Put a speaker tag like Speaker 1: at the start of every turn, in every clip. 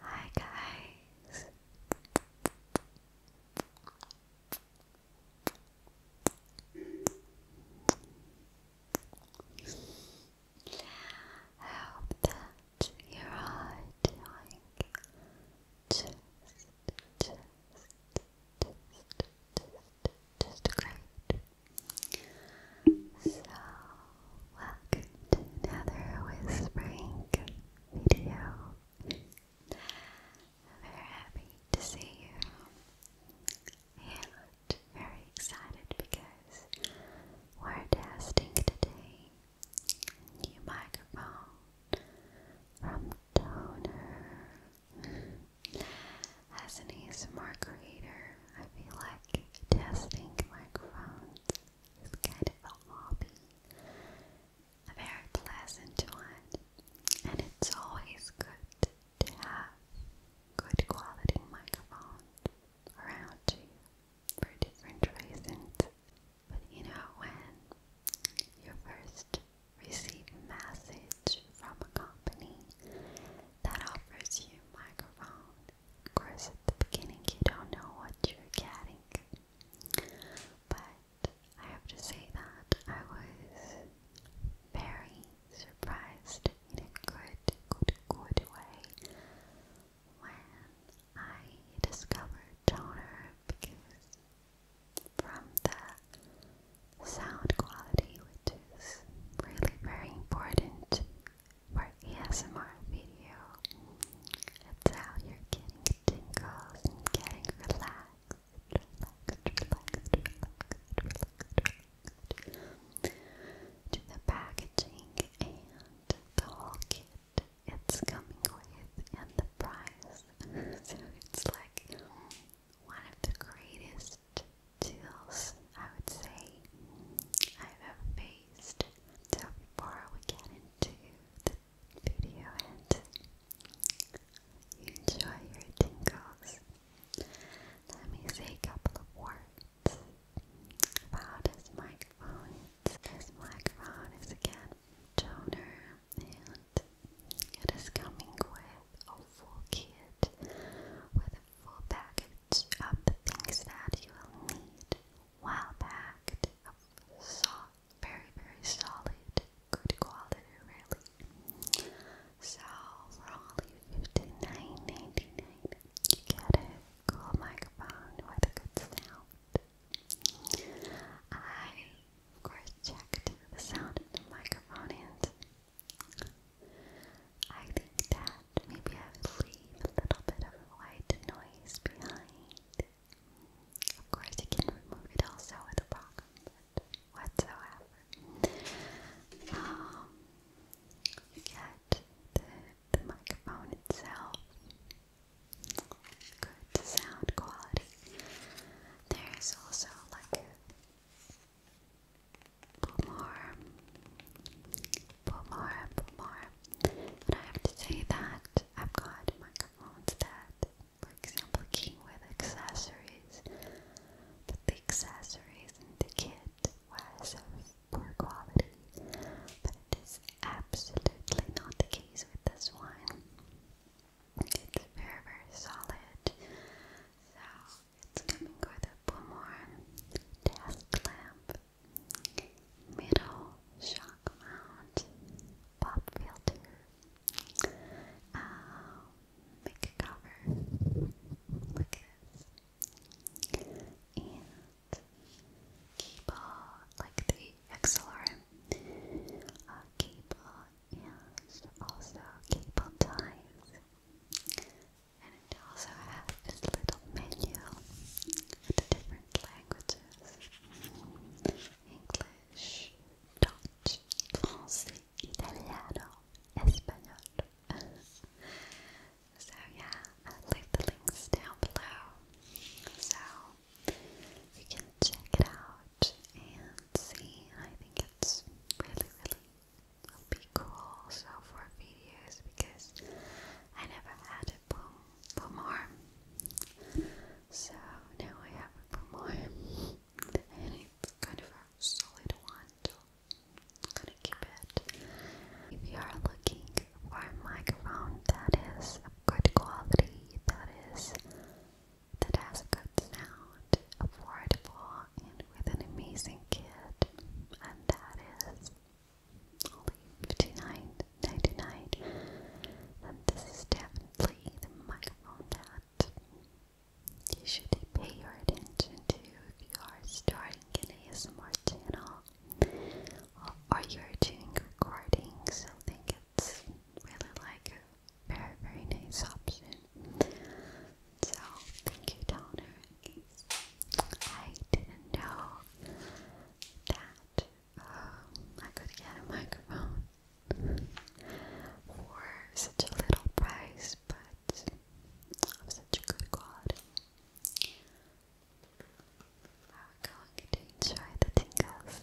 Speaker 1: Hi guys. I hope that you're all doing just, great. So welcome to another whispering video. very happy to see you very excited because we're testing today new microphone from Toner. As an ASMR creator, I feel like testing microphones is kind of a hobby, a very pleasant one, and it's always good to have good quality microphones around you for different reasons. But you know, when you first receive a message from a company that offers you microphones, of course, at the beginning, you don't know what you're getting, but I have to say that I was very surprised in a good, good, good way when I discovered toner because from the sound quality, which is really very important for ASMR video. It's you're getting tingles and getting relaxed. Relaxed, relaxed, relaxed, relaxed, relaxed. To the packaging and the whole kit it's coming with and the price. so it's like one of the greatest deals I would say I've ever paid waist. So before we get into the video and you enjoy your tingles, let me say a couple of words about this microphone. This microphone is again toner and it is coming with a full kit with a full package of the things that you will need well packed, soft, very, very solid, good quality, really. So only 59 you get a cool microphone with a good sound. I, of course, checked the sound of the microphone and I think that and maybe I would leave a little bit of white noise behind. Of course, you can remove it also with a problem whatsoever. get um, the, microphone itself, good sound quality. There's also like more for more, for more. And I have to say that I've got my microphones that, for example, came with accessories, but the accessories in the kit was of poor quality, but it is absolutely not the case with this one. It's very, very solid. So it's coming with a Boomerang desk lamp middle shock mount, pop filter, um, cover, look this, and cable, like the XLR uh, cable, and also cable ties. And it also has this little menu with the different languages English, Dutch, French, Italiano, Espanol. so, yeah, i leave the links down
Speaker 2: below. So, you can check it out and see. I think it's really, really will be cool so for videos because I never had a pomar. So now I have a pomar, and it's kind of a solid one, gonna keep it. If you are looking for a microphone that is good quality, that is that has good sound, affordable, and with an amazing kit, and that is leave tonight, night to and this is definitely the microphone that you should pay your attention to if you are starting an ASMR channel or you're doing recordings. I think it's really like very, very nice option. So, thank you, Donna. I didn't know that um, I could get a microphone for such a little price, but of such good quality. I'm going to enjoy the tingles.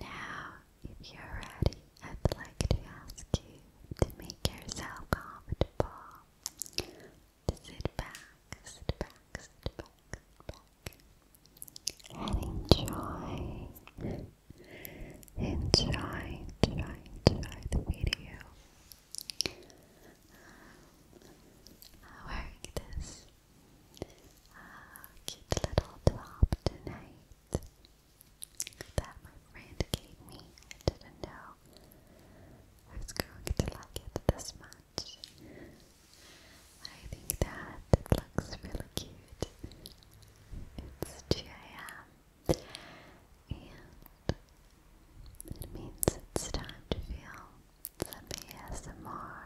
Speaker 2: Now, if you're ready, I'd like to ask you to make yourself comfortable sit back, sit back, sit back, back, and enjoy, enjoy, enjoy, enjoy the video. Um, wearing this cute little top tonight that my friend gave me. I didn't know who's going to like it this much. I think that it looks really cute. It's 2 a.m. and it means it's time to feel some ASMR.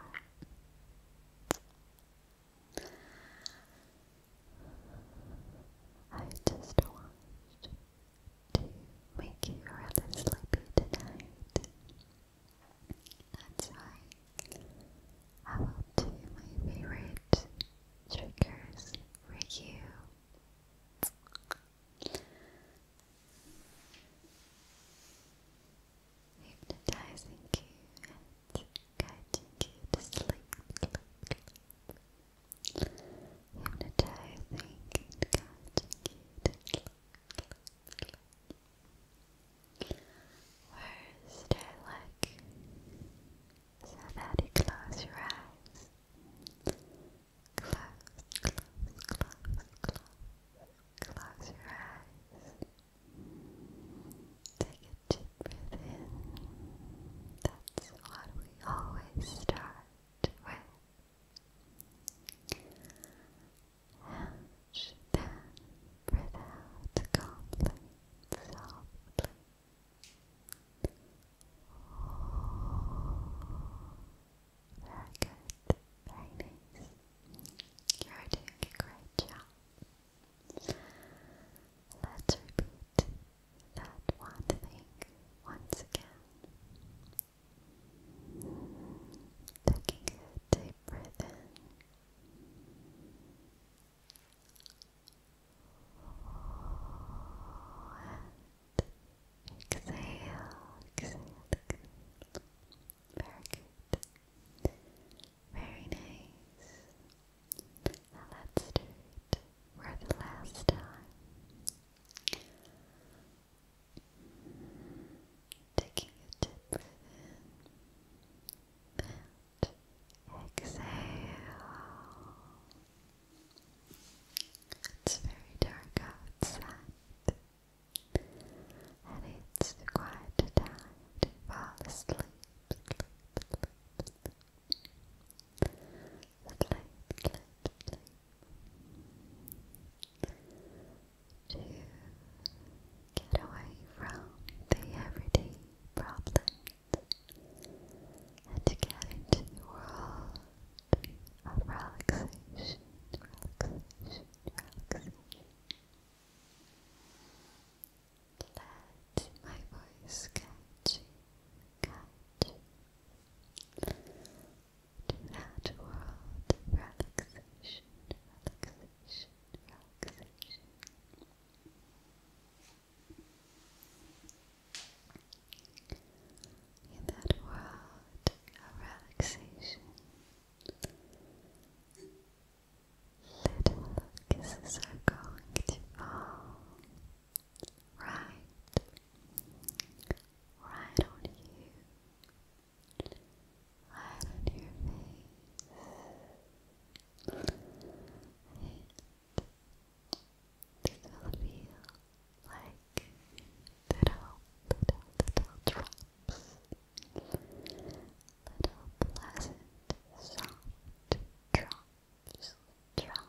Speaker 2: I just watched to make you rather sleepy tonight. That's why I will do my favorite triggers for you. Hypnotizing you and guiding you to sleep that I think it got cute. First, like so that you close your eyes. Close, close, close, close. Close your eyes. Take a deep breath in. That's what we always start with. Hatch then breathe out softly. Very good, very You're doing a great job. Let's repeat that one thing once again. Taking a deep breath in. And exhale,
Speaker 3: Very good. Very nice. Now let's do it for the last time. Taking a deep exhale. It's very dark outside, and it's quite a time to fall asleep sleep, To get away from the everyday problems and to get into the world of relaxation, relaxation, relaxation. Let my voice catch you, catch you to that world of relaxation, relaxation, relaxation. In that world of relaxation, little kisses are going to fall right, right on you, right on your face. And this will feel like little, little, little drops, little pleasant, soft drops, drops.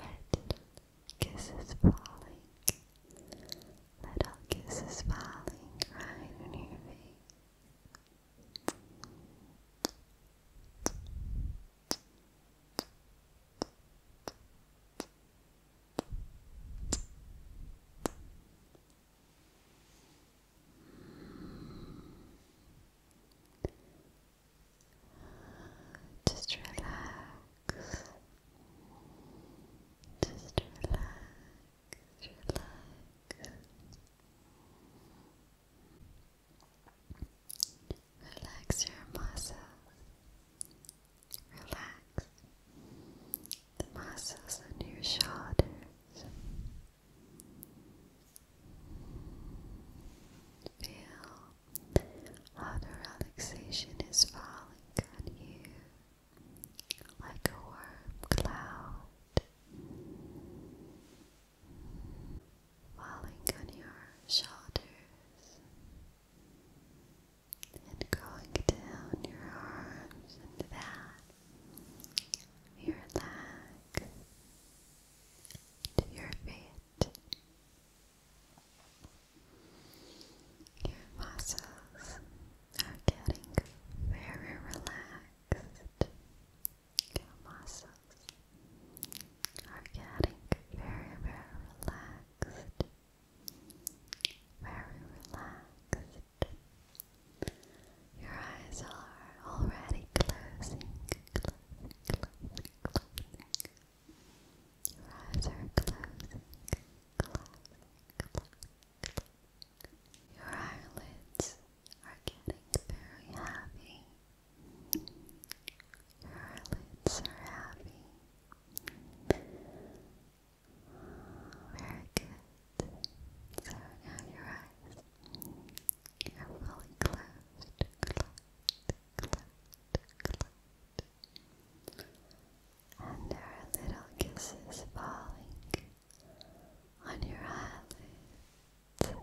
Speaker 3: Let kisses falling. Let all kisses falling right on your face. Just relax. Just relax, relax. Relax your muscles. Relax the muscles on your shoulders.
Speaker 4: Feel Utter relaxation is falling on you like a warm cloud, falling on your shoulders and going down your arms and back, your leg, to your feet. Your muscles are getting very relaxed. Your muscles are getting very, very relaxed. Very relaxed. Your eyes are already closing, closing. Your eyes are closing, closing, Your eyelids are getting very heavy. Your eyelids are heavy. Very good. So now your eyes are fully closed, and there are little kisses falling on your eyelids.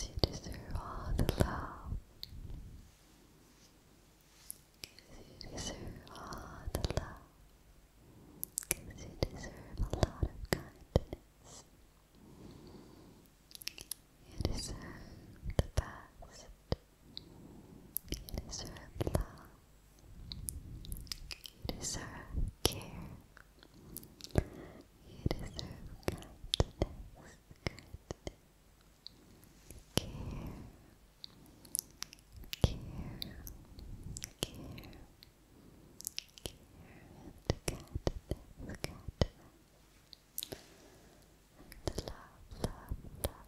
Speaker 4: you deserve all the love you deserve all the love. Because you deserve a lot of kindness. You deserve the best. You deserve love. You deserve care. You deserve kindness. Kindness care, care, care, care, and cat this, cat this. And love, love, love.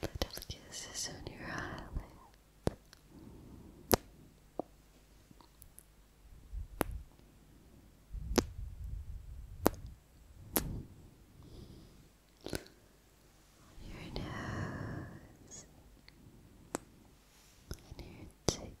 Speaker 4: The kisses on your eyelids. On your nose and your cheeks.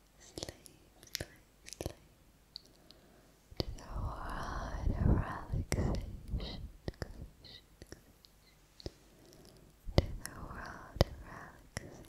Speaker 4: sleep, sleep. To the wide relaxation, relaxation, to the world of relaxation.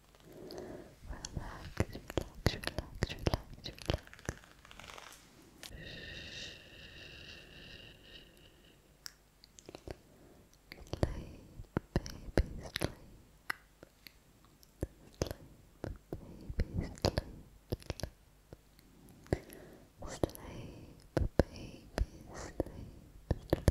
Speaker 4: relax, relax, relax, relax. Sleep, baby, sleep. Sleep, sleep. Sleep, baby, sleep. Sleep, sleep, sleep.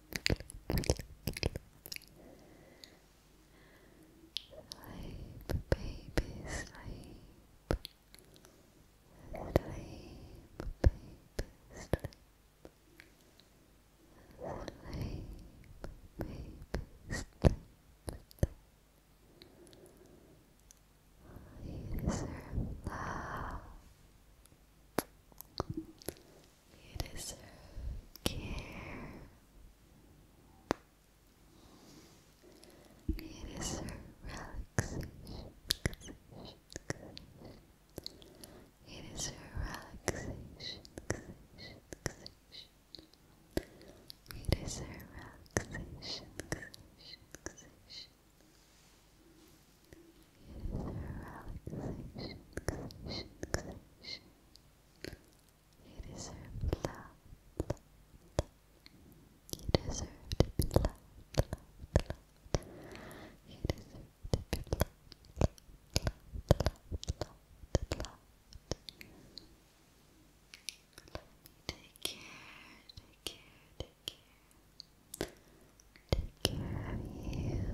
Speaker 4: Sleep, baby, sleep. Sleep, baby, sleep. Sleep, baby, sleep. You deserve love. It is deserve care. It is deserve relaxation. It is deserve relaxation. It is deserve relaxation. relaxation. You relaxation. You deserve love, love, love. You deserve to Let me take care, take care. Take care of you.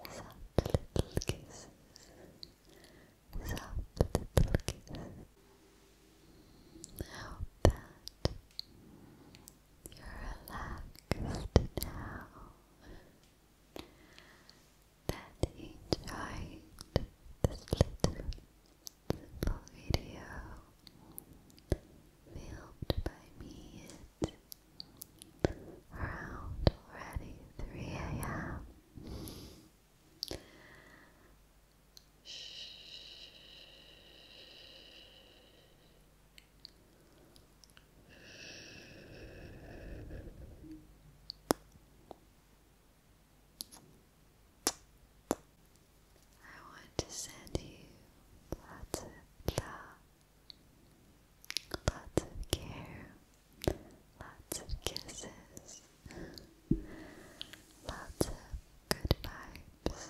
Speaker 4: without little kisses, without little kisses. I hope that you're relaxed now, that you enjoyed this little video filmed by me around already 3 a.m. I want to send you lots of love Lots of care, lots of kisses, lots of good vibes.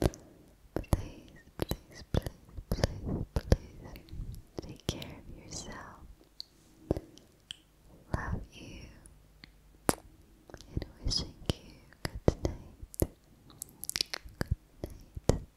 Speaker 4: Please, please, please, please, please take care of yourself. Love you and wishing you good night. Good night.